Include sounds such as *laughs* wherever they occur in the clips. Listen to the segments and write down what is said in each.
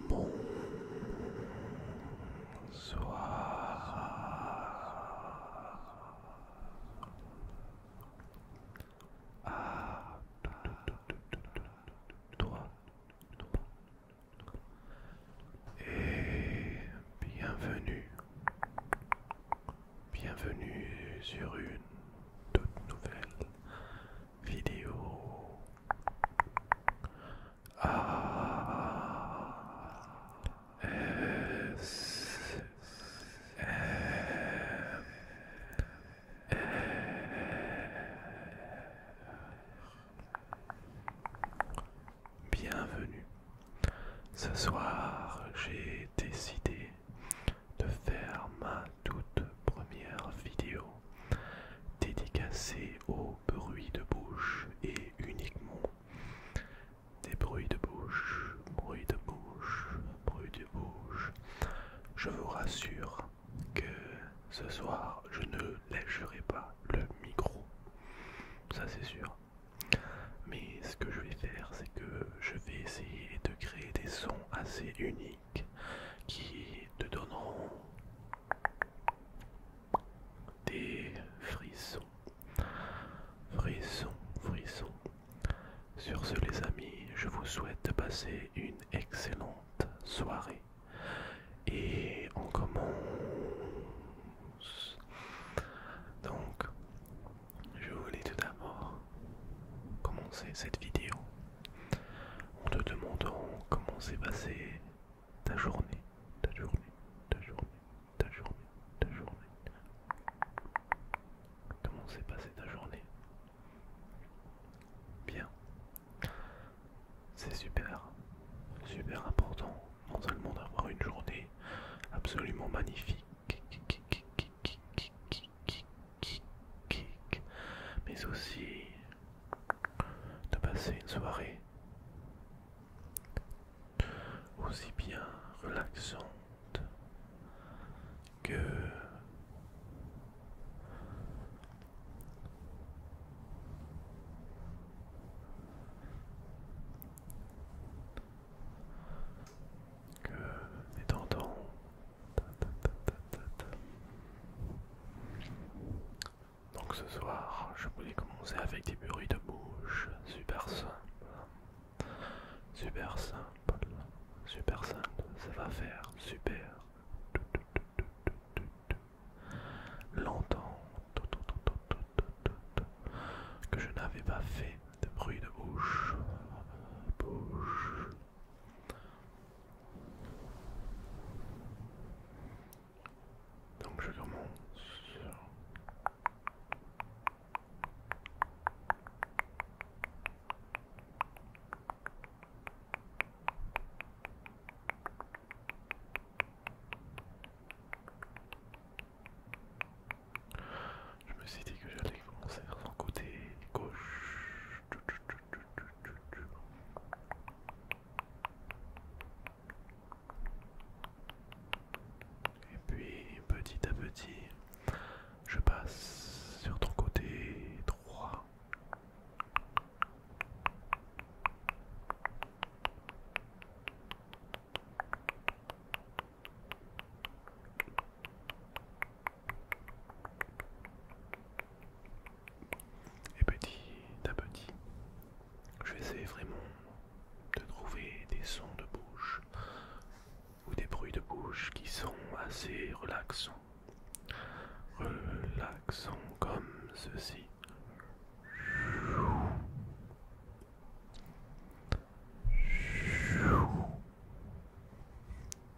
Bonsoir à et bienvenue, bienvenue sur une toute nouvelle vidéo. Bienvenue. Ce soir, j'ai décidé de faire ma toute première vidéo dédicacée au bruits de bouche et uniquement des bruits de bouche, bruit de bouche, bruit de bouche. Je vous rassure que ce soir je ne lècherai pas le micro, ça c'est sûr. Mais ce que je vais faire, c'est que je vais essayer de créer des sons assez uniques qui te donneront des frissons. Frissons, frissons. Sur ce les amis, je vous souhaite de passer une excellente soirée. Et on commence. Donc, je voulais tout d'abord commencer cette vidéo en te demandant comment s'est passée ta journée, ta journée, ta journée, ta journée, ta journée. Comment s'est passée ta journée Bien. C'est super, super important Mentalement d'avoir une journée absolument magnifique mais aussi de passer une soirée aussi bien relaxante que que donc ce soir, je voulais commencer avec des bruits de bouche, super simple, super simple, super simple, ça va faire super longtemps que je n'avais pas fait de bruit de bouche, bouche, donc je commence. Je me suis dit que j'allais commencer sur son côté gauche. Et puis petit à petit, je passe sur ton côté droit. Et petit à petit, je vais essayer vraiment de trouver des sons de bouche ou des bruits de bouche qui sont assez relaxants. Relaxants comme ceci.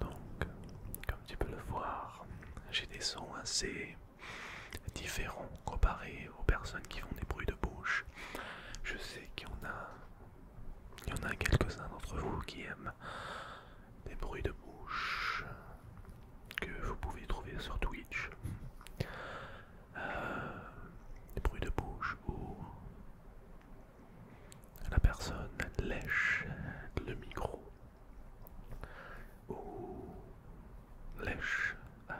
Donc, comme tu peux le voir, j'ai des sons assez différents comparés aux personnes qui font des bruits de bouche. Je sais qu'il y en a, y en a quelques-uns d'entre vous qui aiment des bruits de bouche que vous pouvez trouver sur Twitch. Bruit euh, bruits de bouche ou la personne lèche le micro ou lèche euh,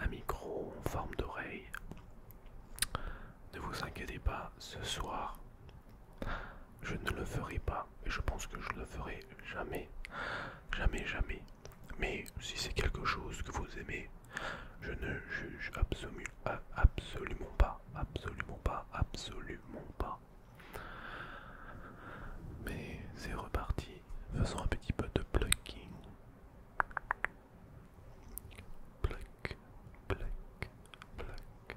un micro en forme d'oreille. Ne vous inquiétez pas, ce soir, je ne le ferai pas et je pense que je le ferai jamais. Jamais, jamais. Mais si c'est quelque chose que vous aimez, je ne juge absolument pas. Absolument pas. Absolument pas. Mais c'est reparti. Faisons un petit peu de plucking. Pluck, pluck, pluck,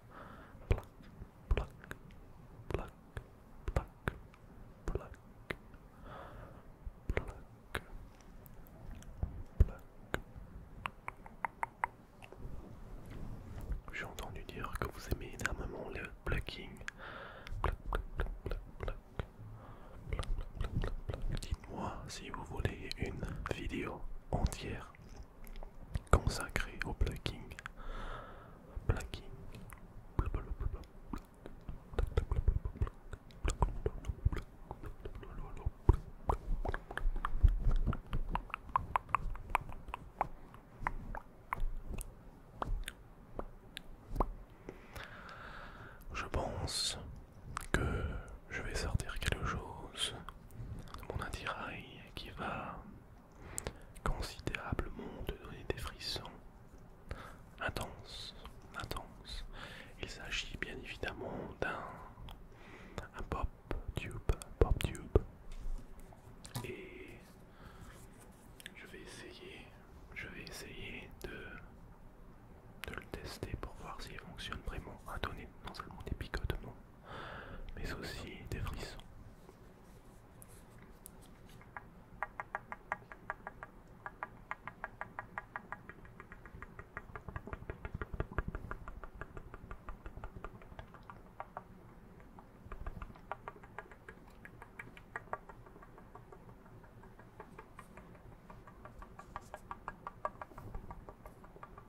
J'ai entendu dire que vous aimez énormément le plucking. Dites-moi si vous voulez une vidéo entière consacré au plucking. Je pense que je vais sortir quelque chose mon attirail qui va considérablement te donner des frissons intenses, intenses. Il s'agit bien évidemment d'un pop tube, pop tube. Et je vais essayer, je vais essayer de, de le tester pour voir s'il fonctionne vraiment à donner non seulement des non mais aussi des frissons.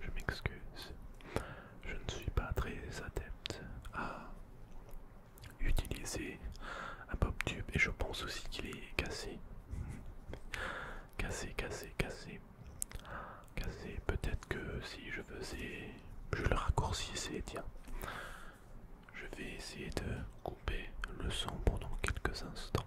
Je m'excuse, je ne suis pas très adepte à utiliser un pop tube et je pense aussi qu'il est cassé. Casser, casser, casser. Casser, peut-être que si je faisais... Je le raccourcissais, tiens. Je vais essayer de couper le son pendant quelques instants.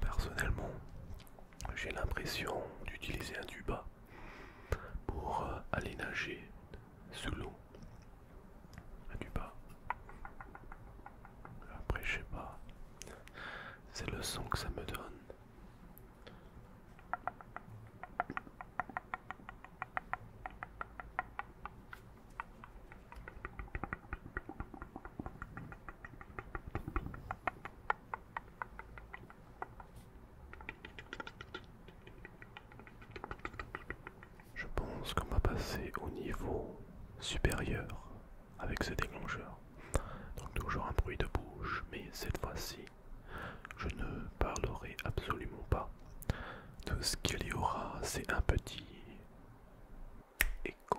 Personnellement, j'ai l'impression d'utiliser un tuba pour euh, aller nager sous l'eau. Un tuba. Après, je sais pas. C'est le son que ça me donne. Je pense qu'on va passer au niveau supérieur avec ce déclencheur. Donc toujours un bruit de bouche, mais cette fois-ci, je ne parlerai absolument pas. Tout ce qu'il y aura, c'est un petit écho.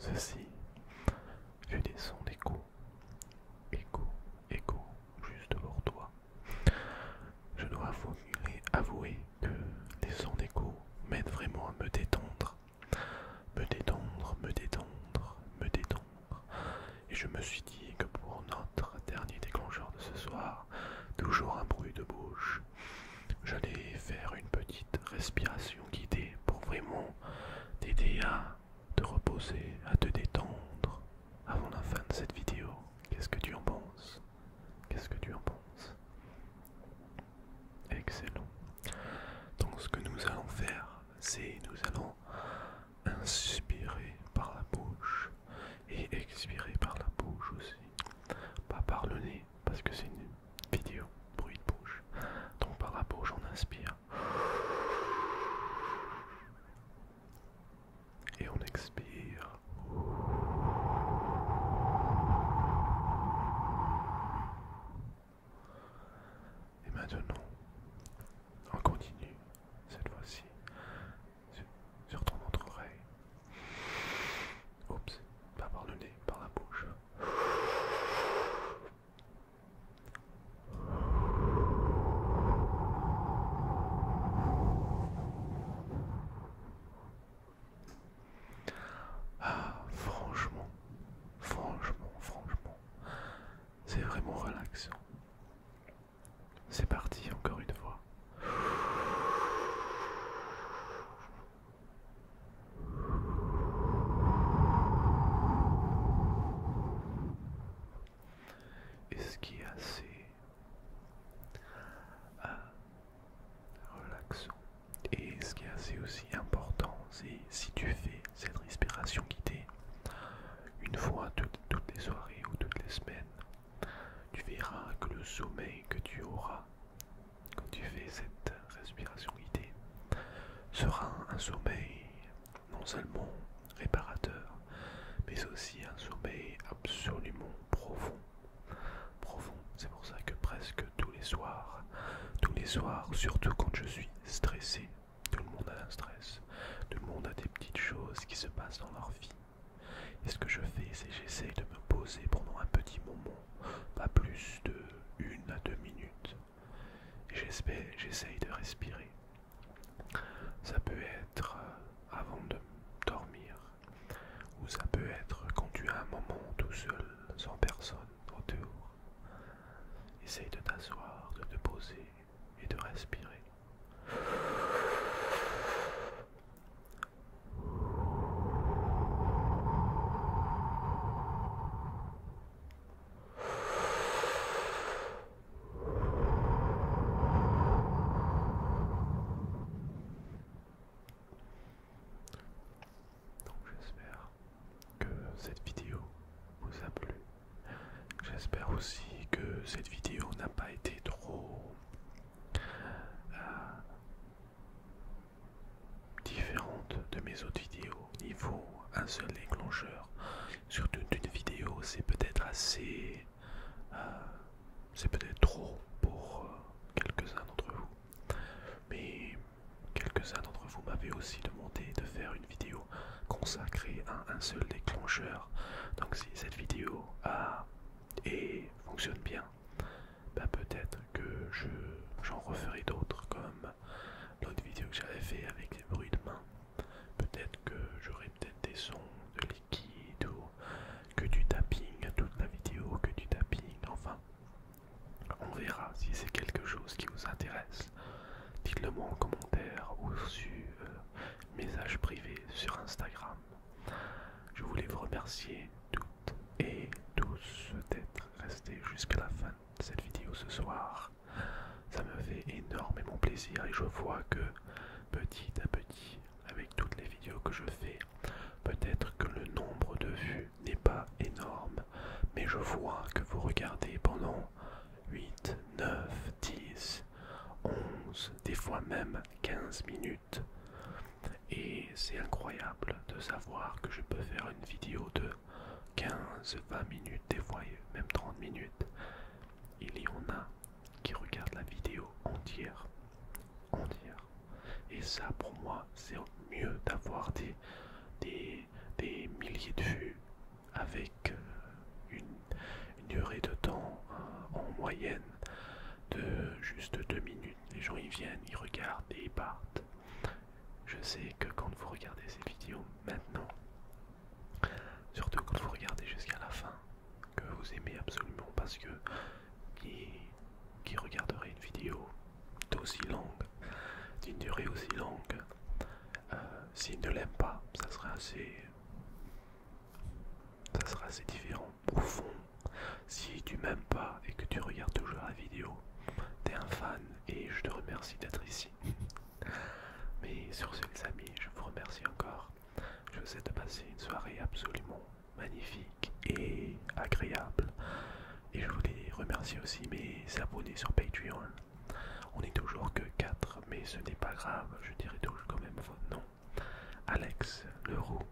Ceci, fut des sons d'écho, écho, écho juste devant toi. Je dois avouer, avouer que les sons d'écho m'aident vraiment à me détendre. Me détendre, me détendre, me détendre. Et je me suis dit que pour notre dernier déclencheur de ce soir, toujours un bruit de bouche, j'allais faire une petite respiration guidée pour vraiment t'aider à te reposer, à te détendre, avant ah, la fin de cette vidéo. Qu'est-ce que tu en penses Qu'est-ce que tu en penses Excellent. Donc ce que nous allons faire, c'est nous allons inspirer par la bouche et expirer par la bouche aussi. Pas par le nez, parce que c'est une vidéo bruit de bouche. Donc par la bouche on inspire. Et on expire. Et maintenant, on continue, cette fois-ci, sur, ton autre oreille. Oups, pas par le nez, par la bouche. Ah, franchement, franchement, franchement, c'est vraiment relaxant. C'est parti encore une fois et ce qui est assez euh, relaxant. Et ce qui est assez aussi important, c'est si tu fais cette respiration guidée une fois toutes les soirées ou toutes les semaines, tu verras que le sommeil que tu auras quand tu fais cette respiration guidée sera un sommeil non seulement réparateur, mais aussi un sommeil absolument profond. Profond, c'est pour ça que presque tous les soirs, tous les soirs, surtout quand je suis stressé, tout le monde a un stress, tout le monde a des petites choses qui se passent dans leur vie. Et ce que je fais, c'est j'essaye de me poser pendant un petit moment, pas plus de une à deux minutes, J'espère, j'essaye de respirer. Ça peut être euh, avant de dormir, ou ça peut être quand tu as un moment tout seul, sans personne autour. Essaye de t'asseoir, de te poser et de respirer. Donc j'espère que cette vidéo vous a plu. J'espère aussi que cette vidéo n'a pas été trop euh, différente de mes autres vidéos. Il faut un seul déclencheur sur une vidéo, c'est peut-être assez... Euh, c'est peut-être trop pour euh, quelques-uns d'entre vous. Mais quelques-uns d'entre vous m'avaient aussi demandé de faire une vidéo consacrée à un seul déclencheur. Donc si cette vidéo a et fonctionne bien, bah, peut-être que j'en referai d'autres comme l'autre vidéo que j'avais fait avec les bruits de main Peut-être que j'aurai peut-être des sons de liquide ou que du tapping, à toute la vidéo, que du tapping, enfin. On verra si c'est quelque chose qui vous intéresse. Dites-le moi en commentaire ou sur euh, message privé sur Instagram. Je voulais vous remercier toutes et tous d'être restés jusqu'à la fin de cette vidéo ce soir. Ça me fait énormément plaisir et je vois que petit à petit, avec toutes les vidéos que je fais, peut-être que le nombre de vues n'est pas énorme, mais je vois que vous regardez pendant 8, 9, 10, 11, des fois même 15 minutes. Et c'est incroyable de savoir que je peux faire une vidéo de 15-20 minutes des fois même 30 minutes. Il y en a qui regardent la vidéo entière. Entière. Et ça, pour moi, c'est mieux d'avoir des, milliers de vues avec euh, une, durée de temps euh, en moyenne de juste 2 minutes. Les gens, ils viennent, ils regardent et ils partent. Je sais que quand vous regardez ces vidéos maintenant, surtout quand vous regardez jusqu'à la fin, que vous aimez absolument parce que qui, regarderait une vidéo d'aussi longue, d'une durée aussi longue, euh, s'il ne l'aime pas, ça serait assez, ça sera assez différent. Au si tu m'aimes pas et que tu regardes toujours la vidéo, t'es un fan et je te remercie d'être ici. *laughs* Mais sur ce, les amis, je vous remercie encore. Je vous souhaite de passer une soirée absolument magnifique et agréable. Et je voulais remercier aussi mes abonnés sur Patreon. On est toujours que 4, mais ce n'est pas grave, je dirais toujours quand même votre nom. Alex Leroux,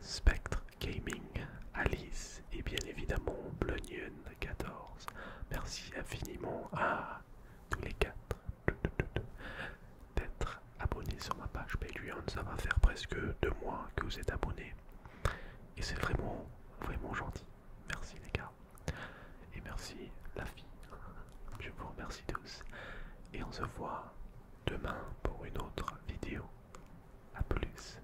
Spectre Gaming, Alice et bien évidemment Blunion 14. Merci infiniment à tous les quatre d'être abonnés sur ma page Patreon. Ça va faire presque deux mois que vous êtes abonnés. Et c'est vraiment, vraiment gentil. Merci les gars. Et merci la fille. Je vous remercie tous. Et on se voit demain pour une autre vidéo. A plus.